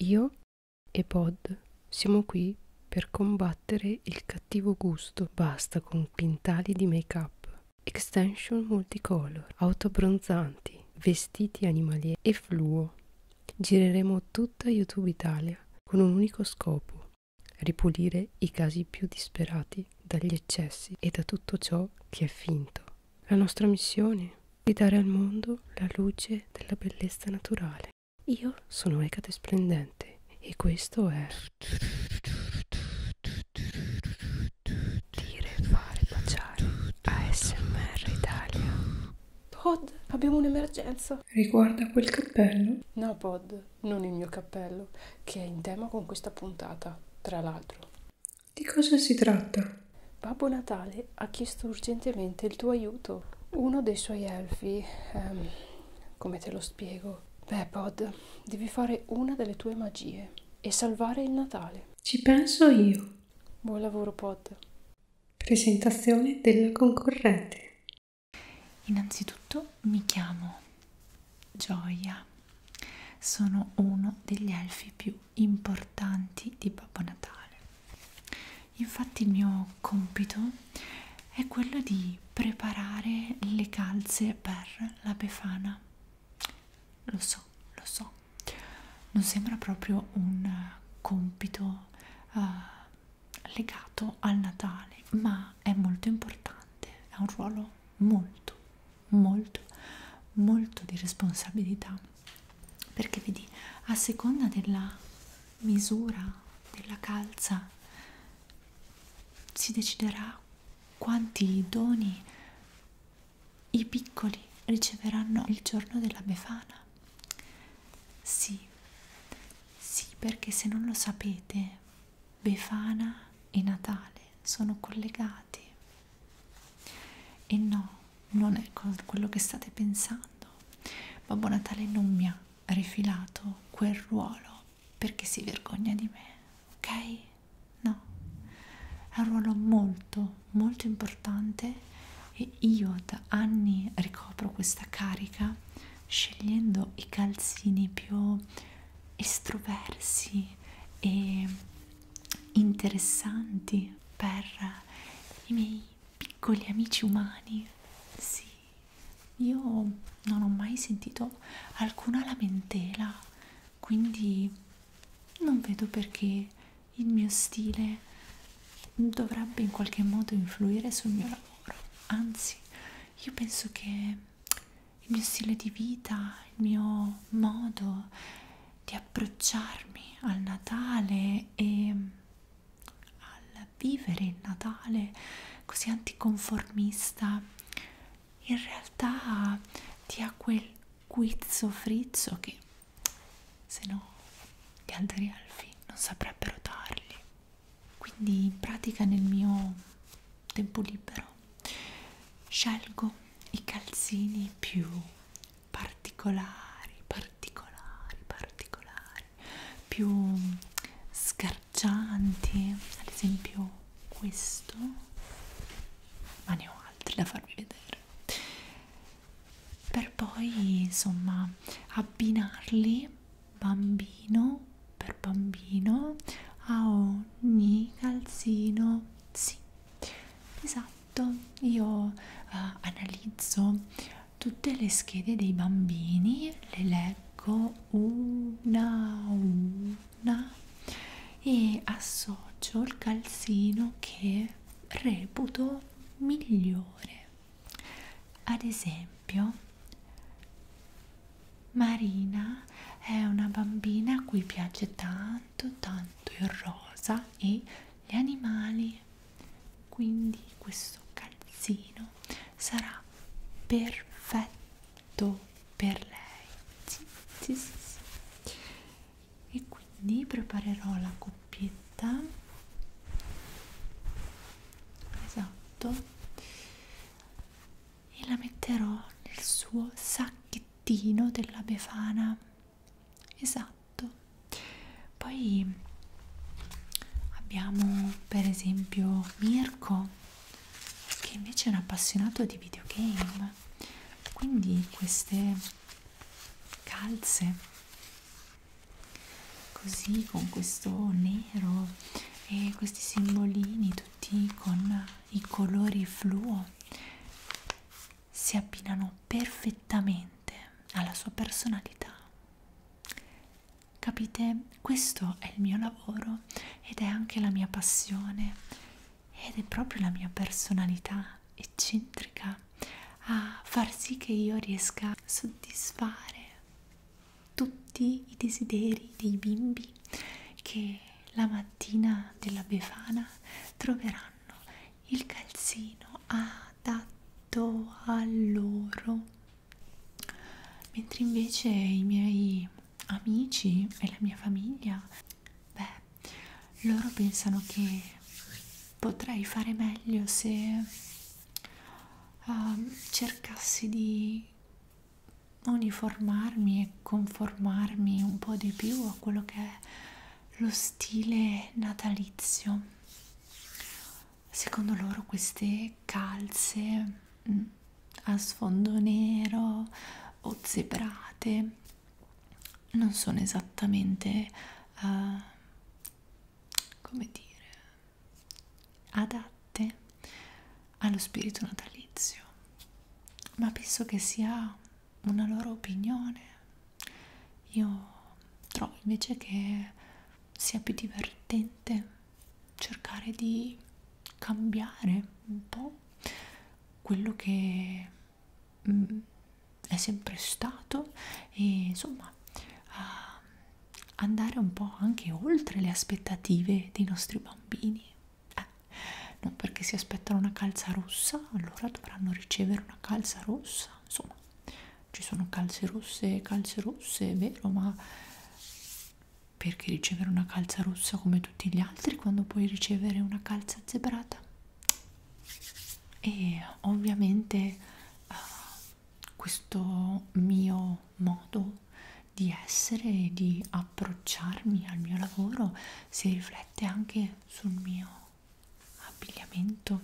Io e Pod siamo qui per combattere il cattivo gusto. Basta con quintali di make-up, extension multicolor, autobronzanti, vestiti animalieri e fluo. Gireremo tutta YouTube Italia con un unico scopo, ripulire i casi più disperati dagli eccessi e da tutto ciò che è finto. La nostra missione di dare al mondo la luce della bellezza naturale. Io sono Ecate Splendente e questo è Dire, fare, baciare ASMR Italia. Pod, abbiamo un'emergenza. Riguarda quel cappello? No, Pod, non il mio cappello, che è in tema con questa puntata, tra l'altro. Di cosa si tratta? Babbo Natale ha chiesto urgentemente il tuo aiuto. Uno dei suoi elfi, ehm, come te lo spiego? Beh, Pod, devi fare una delle tue magie e salvare il Natale. Ci penso io. Buon lavoro, Pod. Presentazione della concorrente. Innanzitutto mi chiamo Gioia. Sono uno degli elfi più più importanti di Babbo Natale. Infatti il mio compito è quello di preparare le calze per la Befana. Lo so, lo so. Non sembra proprio un compito uh, legato al Natale, ma è molto importante, ha un ruolo molto, molto, molto di responsabilità perché vedi a seconda della misura della calza si deciderà quanti doni i piccoli riceveranno il giorno della Befana. Sì, sì, perché se non lo sapete, Befana e Natale sono collegati. E no, non è quello che state pensando. Babbo Natale non mi ha rifilato quel ruolo perché si vergogna di me, ok? No, è un ruolo molto, molto importante e io da anni ricopro questa carica scegliendo i calzini più estroversi e interessanti per i miei piccoli amici umani. Sì, io non ho mai sentito alcuna lamentela, quindi non vedo perché il mio stile dovrebbe in qualche modo influire sul mio lavoro. Anzi, io penso che il mio stile di vita, il mio modo di approcciarmi al Natale e al vivere il Natale così anticonformista in realtà ti ha quel guizzo frizzo che se no gli altri elfi non saprebbero darli quindi in pratica nel mio tempo libero scelgo i calzini più particolari, particolari, particolari, più sgargianti, ad esempio questo, ma ne ho altri da farvi vedere, per poi insomma abbinarli bambino per bambino a ogni calzino sì esatto fatto io uh, analizzo tutte le schede dei bambini le leggo una una e associo il calzino che reputo migliore ad esempio Marina è una bambina a cui piace tanto tanto il rosa e gli animali quindi questo calzino sarà perfetto per lei sì, sì, sì, sì. e quindi preparerò la coppietta esatto e la metterò nel suo sacchettino della befana esatto poi abbiamo per esempio Mirko che invece è un appassionato di videogame quindi queste calze così con questo nero e questi simbolini tutti con i colori fluo si abbinano perfettamente alla sua personalità. Capite? Questo è il mio lavoro ed è anche la mia passione ed è proprio la mia personalità eccentrica a far sì che io riesca a soddisfare tutti i desideri dei bimbi che la mattina della Befana troveranno il calzino adatto a loro mentre invece i miei amici e la mia famiglia beh loro pensano che potrei fare meglio se uh, cercassi di uniformarmi e conformarmi un po' di più a quello che è lo stile natalizio secondo loro queste calze mh, mm, a sfondo nero o zebrate non sono esattamente uh, come dire adatte allo spirito natalizio ma penso che sia una loro opinione. Io trovo invece che sia più divertente cercare di cambiare un po' quello che mh, mm, è sempre stato e insomma uh, andare un po' anche oltre le aspettative dei nostri bambini. Eh, non perché si aspettano una calza rossa allora dovranno ricevere una calza rossa insomma ci sono calze rosse e calze rosse è vero ma perché ricevere una calza rossa come tutti gli altri quando puoi ricevere una calza zebrata e ovviamente uh, questo mio modo di essere e di approcciarmi al mio lavoro si riflette riflette anche sul mio abbigliamento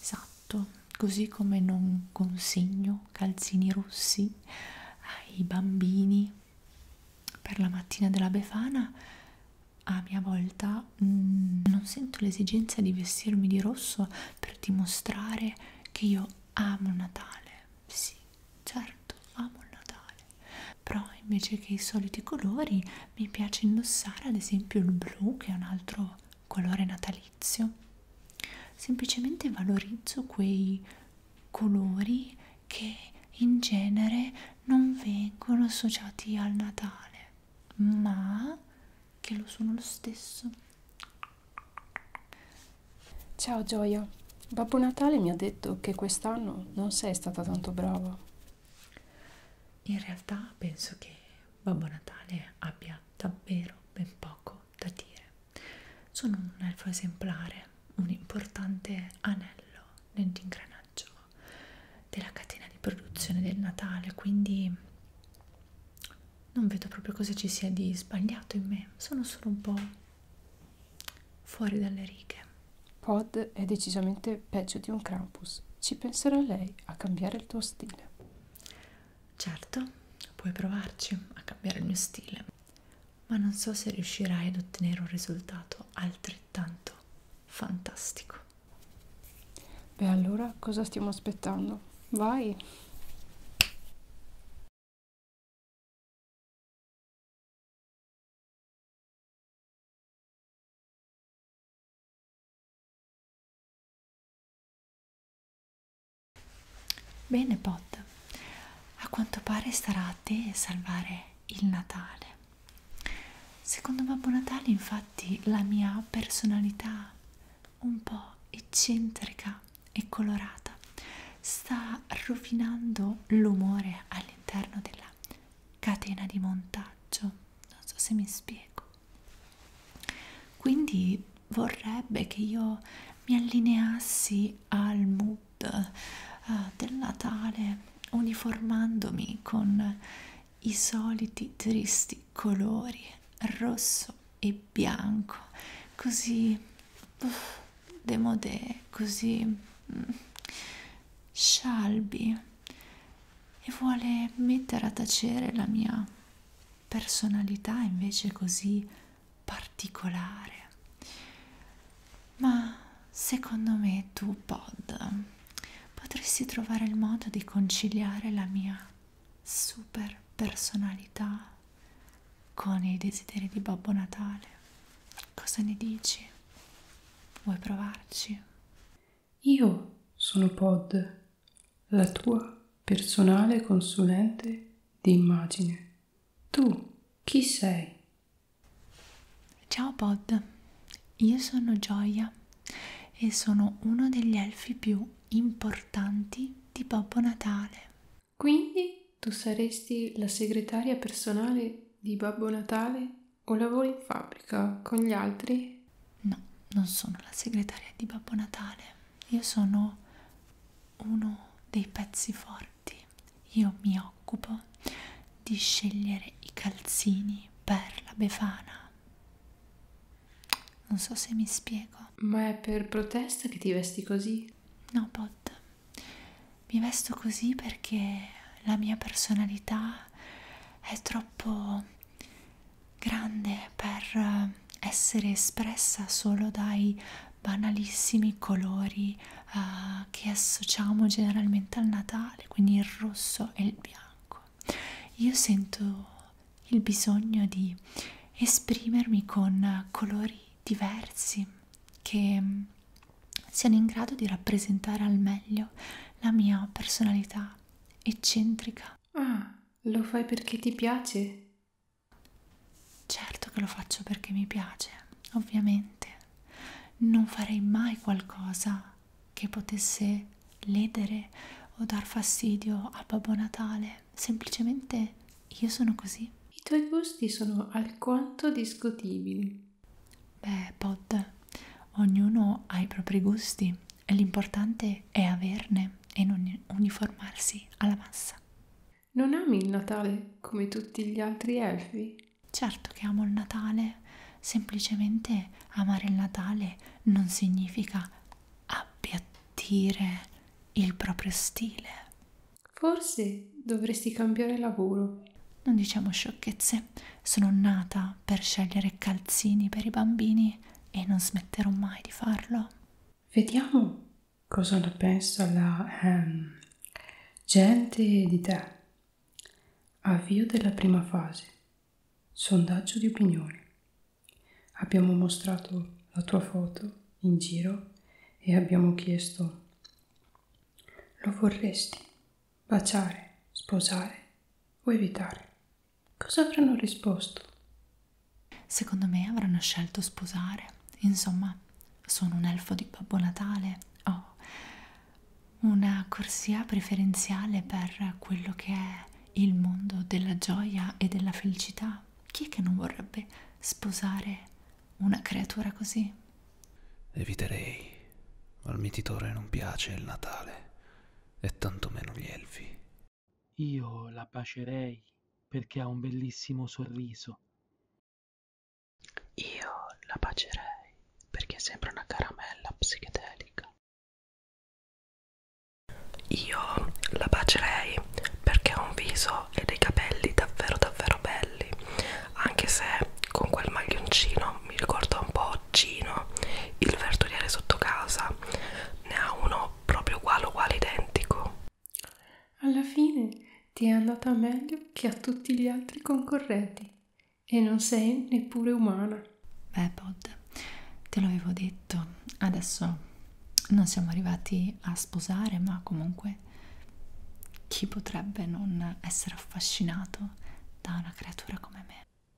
esatto così come non consegno calzini rossi ai bambini per la mattina della Befana a mia volta mh, mm, non sento l'esigenza di vestirmi di rosso per dimostrare che io amo Natale sì Certo, amo il Natale, però invece che i soliti colori mi piace indossare ad esempio il blu che è un altro colore natalizio. Semplicemente valorizzo quei colori che in genere non vengono associati al Natale, ma che lo sono lo stesso. Ciao Gioia! Babbo Natale mi ha detto che quest'anno non sei stata tanto brava. In realtà penso che Babbo Natale abbia davvero ben poco da dire. Sono un elfo esemplare, un importante anello nell'ingranaggio della catena di produzione del Natale, quindi non vedo proprio cosa ci sia di sbagliato in me, sono solo un po' fuori dalle righe. Pod è decisamente peggio di un Krampus. Ci penserà lei a cambiare il tuo stile. Certo, puoi provarci a cambiare il mio stile, ma non so se riuscirai ad ottenere un risultato altrettanto fantastico. Beh allora cosa stiamo aspettando? Vai! Bene, Pod, a quanto pare sarà a te salvare il Natale. Secondo Babbo Natale, infatti, la mia personalità un po' eccentrica e colorata sta rovinando l'umore all'interno della catena di montaggio non so se mi spiego quindi vorrebbe che io mi allineassi al mood uh, del Natale uniformandomi con i soliti tristi colori rosso e bianco così uff, demodè, così mm, scialbi e vuole mettere a tacere la mia personalità invece così particolare. Ma secondo me tu, Pod, potresti trovare il modo di conciliare la mia super personalità con i desideri di Babbo Natale. Cosa ne dici? Vuoi provarci? Io sono Pod, la tua personale consulente di immagine. Tu chi sei? Ciao Pod, io sono Gioia e sono uno degli elfi più importanti di Babbo Natale. Quindi tu saresti la segretaria personale di Babbo Natale o lavori in fabbrica con gli altri? No, non sono la segretaria di Babbo Natale. Io sono uno dei pezzi forti. Io mi occupo di scegliere i calzini per la Befana. Non so se mi spiego. Ma è per protesta che ti vesti così? No, Pot, mi vesto così perché la mia personalità è troppo grande per eh, essere espressa solo dai banalissimi colori uh, che associamo generalmente al Natale, quindi il rosso e il bianco. Io sento il bisogno di esprimermi con colori diversi che mm, siano in grado di rappresentare al meglio la mia personalità eccentrica. Ah, lo fai perché ti piace? Certo che lo faccio perché mi piace, ovviamente. Non farei mai qualcosa che potesse ledere o dar fastidio a Babbo Natale, semplicemente io sono così. I tuoi gusti sono alquanto discutibili. Beh, Pod, ognuno ha i propri gusti e l'importante è averne e non uniformarsi alla massa. Non ami il Natale come tutti gli altri elfi? Certo che amo il Natale, semplicemente amare il Natale non significa appiattire il proprio stile. Forse dovresti cambiare lavoro. Non diciamo sciocchezze. Sono nata per scegliere calzini per i bambini e non smetterò mai di farlo. Vediamo cosa ne pensa la ehm, gente di te. Avvio della prima fase. Sondaggio di opinioni. Abbiamo mostrato la tua foto in giro e abbiamo chiesto lo vorresti baciare, sposare o evitare? Cosa avranno risposto? Secondo me avranno scelto sposare. Insomma, sono un elfo di Babbo Natale. Ho oh, una corsia preferenziale per quello che è il mondo della gioia e della felicità. Chi è che non vorrebbe sposare una creatura così? Eviterei. Al mititore non piace il Natale, e tantomeno gli elfi. Io la bacerei perché ha un bellissimo sorriso. Io la bacerei perché sembra una caramella psichedelica. Io la bacerei perché ha un viso ho e dei capelli davvero davvero belli anche se con quel maglioncino mi ricorda un po' Gino il verduriere sotto casa ne ha uno proprio uguale uguale identico alla fine ti è andata meglio che a tutti gli altri concorrenti e non sei neppure umana beh Pod te l'avevo detto adesso non siamo arrivati a sposare, ma comunque chi potrebbe non essere affascinato da una creatura come me?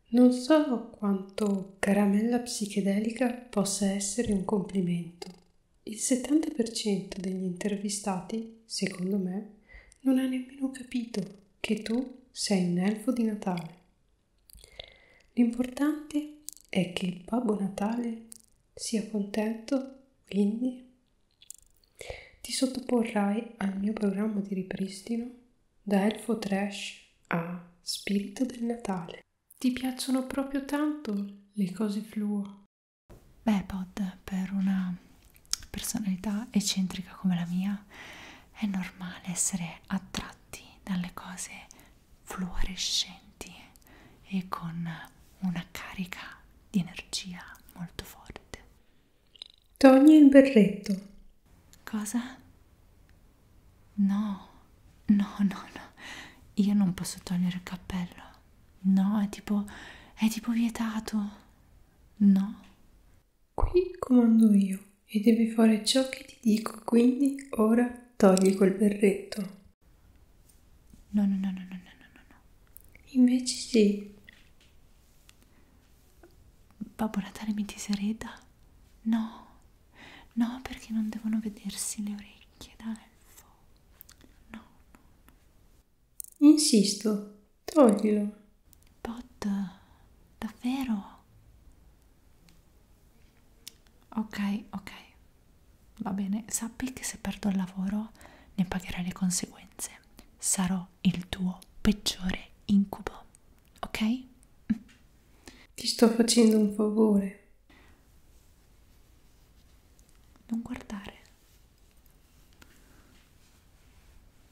Non so quanto caramella psichedelica possa essere un complimento. Il 70% degli intervistati, secondo me, non ha nemmeno capito che tu sei un elfo di Natale. L'importante è che Babbo Natale sia contento, quindi. Ti sottoporrai al mio programma di ripristino da Elfo Trash a Spirito del Natale. Ti piacciono proprio tanto le cose fluo? Beh, Pod, per una personalità eccentrica come la mia, è normale essere attratti dalle cose fluorescenti e con una carica di energia molto forte. Togli il berretto. Cosa? No, no, no, no. Io non posso togliere il cappello. No, è tipo... è tipo vietato. No. Qui comando io e devi fare ciò che ti dico, quindi ora togli quel berretto. No, no, no, no, no, no, no, no. Invece sì. Babbo Natale mi disereda? No, no, perché non devono vedersi le orecchie da elfo. No, no, no. Insisto, toglilo. Pot, davvero? Ok, ok, Va bene, sappi che se perdo il lavoro ne pagherai le conseguenze. Sarò il tuo peggiore incubo, ok? Ti sto facendo un favore. Non guardare.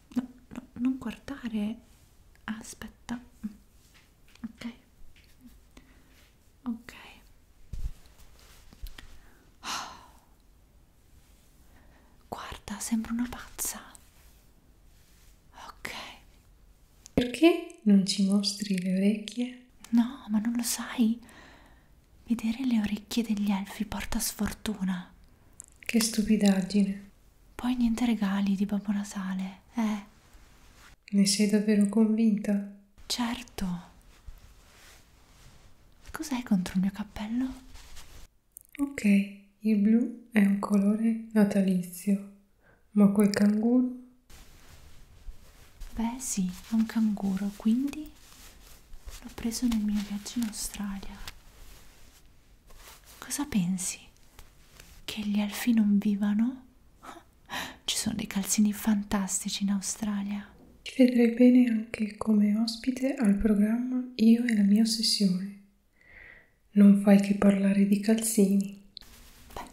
No, no, non guardare. Aspetta. Ok ok oh. guarda sembra una pazza ok perché non ci mostri le orecchie? no ma non lo sai vedere le orecchie degli elfi porta sfortuna che stupidaggine poi niente regali di Babbo Natale eh ne sei davvero convinta? Certo. Cos'è contro il mio cappello? Ok, il blu è un colore natalizio, ma quel canguro? Beh sì, è un canguro, quindi l'ho preso nel mio viaggio in Australia. Cosa pensi? Che gli elfi non vivano? Ci sono dei calzini fantastici in Australia. Ti vedrei bene anche come ospite al programma Io e la mia ossessione. Non fai che parlare di calzini. Beh,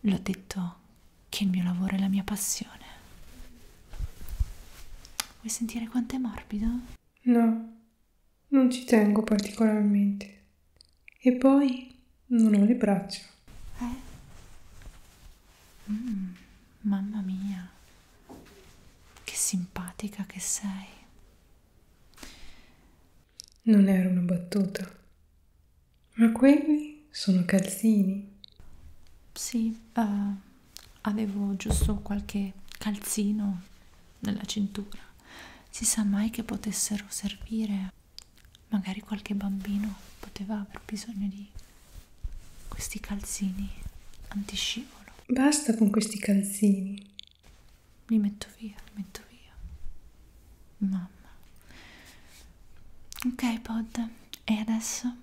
l'ho detto che il mio lavoro è la mia passione. Vuoi sentire quanto è morbido? No, non ci tengo particolarmente. E poi non ho le braccia. Eh? Mm, mamma mia, che simpatica che sei. Non era una battuta, ma quelli sono calzini. Sì, uh, avevo giusto qualche calzino nella cintura. Si sa mai che potessero servire magari qualche bambino poteva aver bisogno di questi calzini antiscivolo. Basta con questi calzini. Li metto via, li metto via. Mamma. Ok, Pod, e adesso?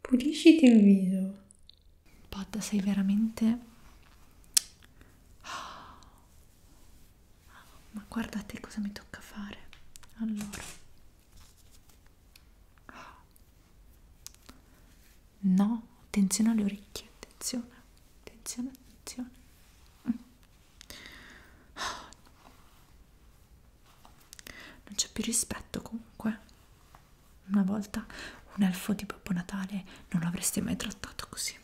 Pulisciti il viso. Pod, sei veramente ma guardate cosa mi tocca fare allora No, attenzione alle orecchie, attenzione, attenzione, attenzione. Non c'è più rispetto comunque. Una volta un elfo di Babbo Natale non l'avreste mai trattato così.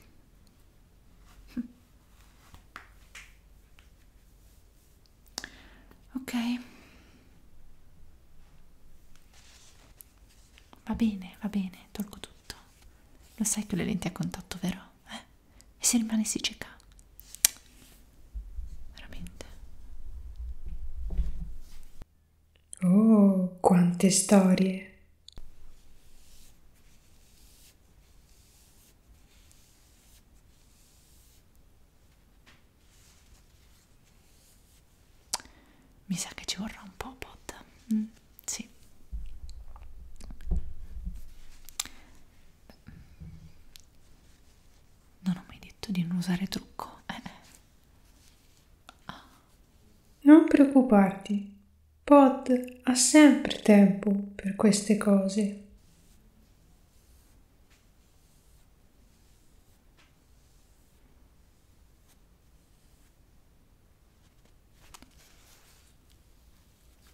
Ok? Va bene, va bene, tolgo tutto. Lo sai che le lenti a contatto, vero? Eh? E se rimanessi cieca? Veramente. Oh, quante storie! Mi sa che ci vorrà un po' pot. Mm, sì. Non ho mai detto di non usare trucco. Eh. eh. Ah. Non preoccuparti, Pod ha sempre tempo per queste cose.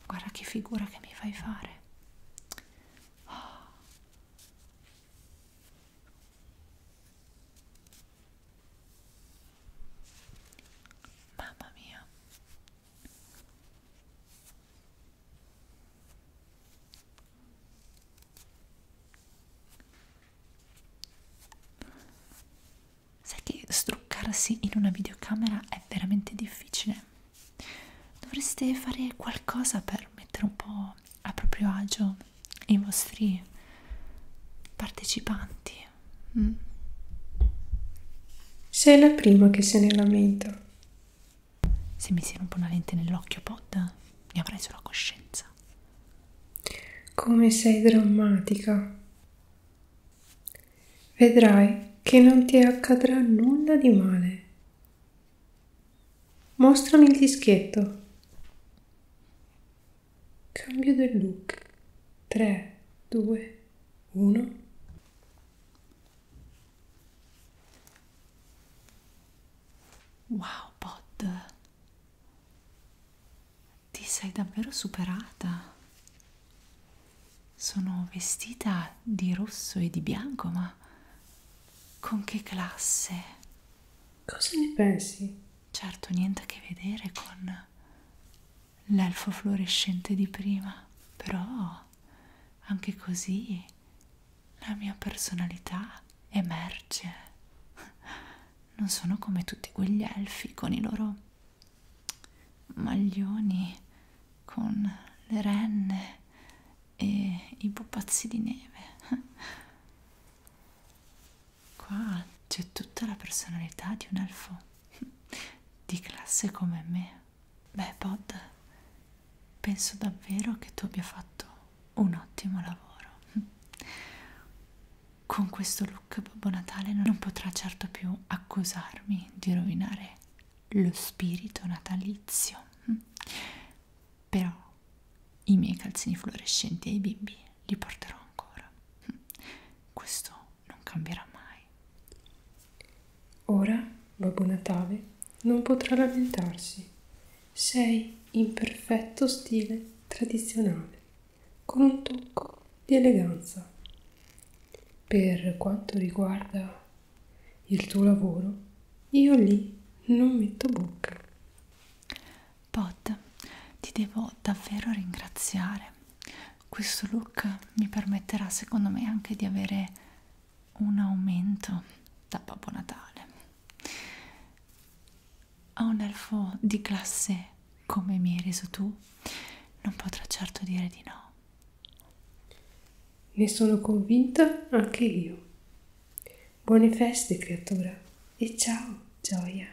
Guarda che figura che mi fai fare. Mamma mia, Sai che struccarsi in una videocamera è veramente difficile. Dovreste fare qualcosa per mettere un po' a proprio agio i vostri partecipanti. Mm. Sei la prima che se ne lamenta. Se mi si rompe una lente nell'occhio, Pod, ne avrai solo coscienza. Come sei drammatica. Vedrai che non ti accadrà nulla di male. Mostrami il dischetto. Cambio del look. 3, 2, 1 Wow, Pod, ti sei davvero superata. Sono vestita di rosso e di bianco, ma con che classe? Cosa ne pensi? Certo, niente a che vedere con l'elfo fluorescente di prima, però anche così la mia personalità emerge. Non sono come tutti quegli elfi con i loro maglioni, con le renne e i pupazzi di neve. Qua c'è tutta la personalità di un elfo di classe come me. Beh, Pod, penso davvero che tu abbia fatto un ottimo lavoro. Con questo look Babbo Natale non potrà certo più accusarmi di rovinare lo spirito natalizio. Però i miei calzini fluorescenti ai bimbi li porterò ancora. Questo non cambierà mai. Ora Babbo Natale non potrà lamentarsi. Sei in perfetto stile tradizionale, con un tocco di eleganza. Per quanto riguarda il tuo lavoro, io lì non metto bocca. Pod, ti devo davvero ringraziare questo look mi permetterà secondo me anche di avere un aumento da Babbo Natale a un elfo di classe come mi hai reso tu non potrà certo dire di no ne sono convinta anche io buone feste creatura e ciao gioia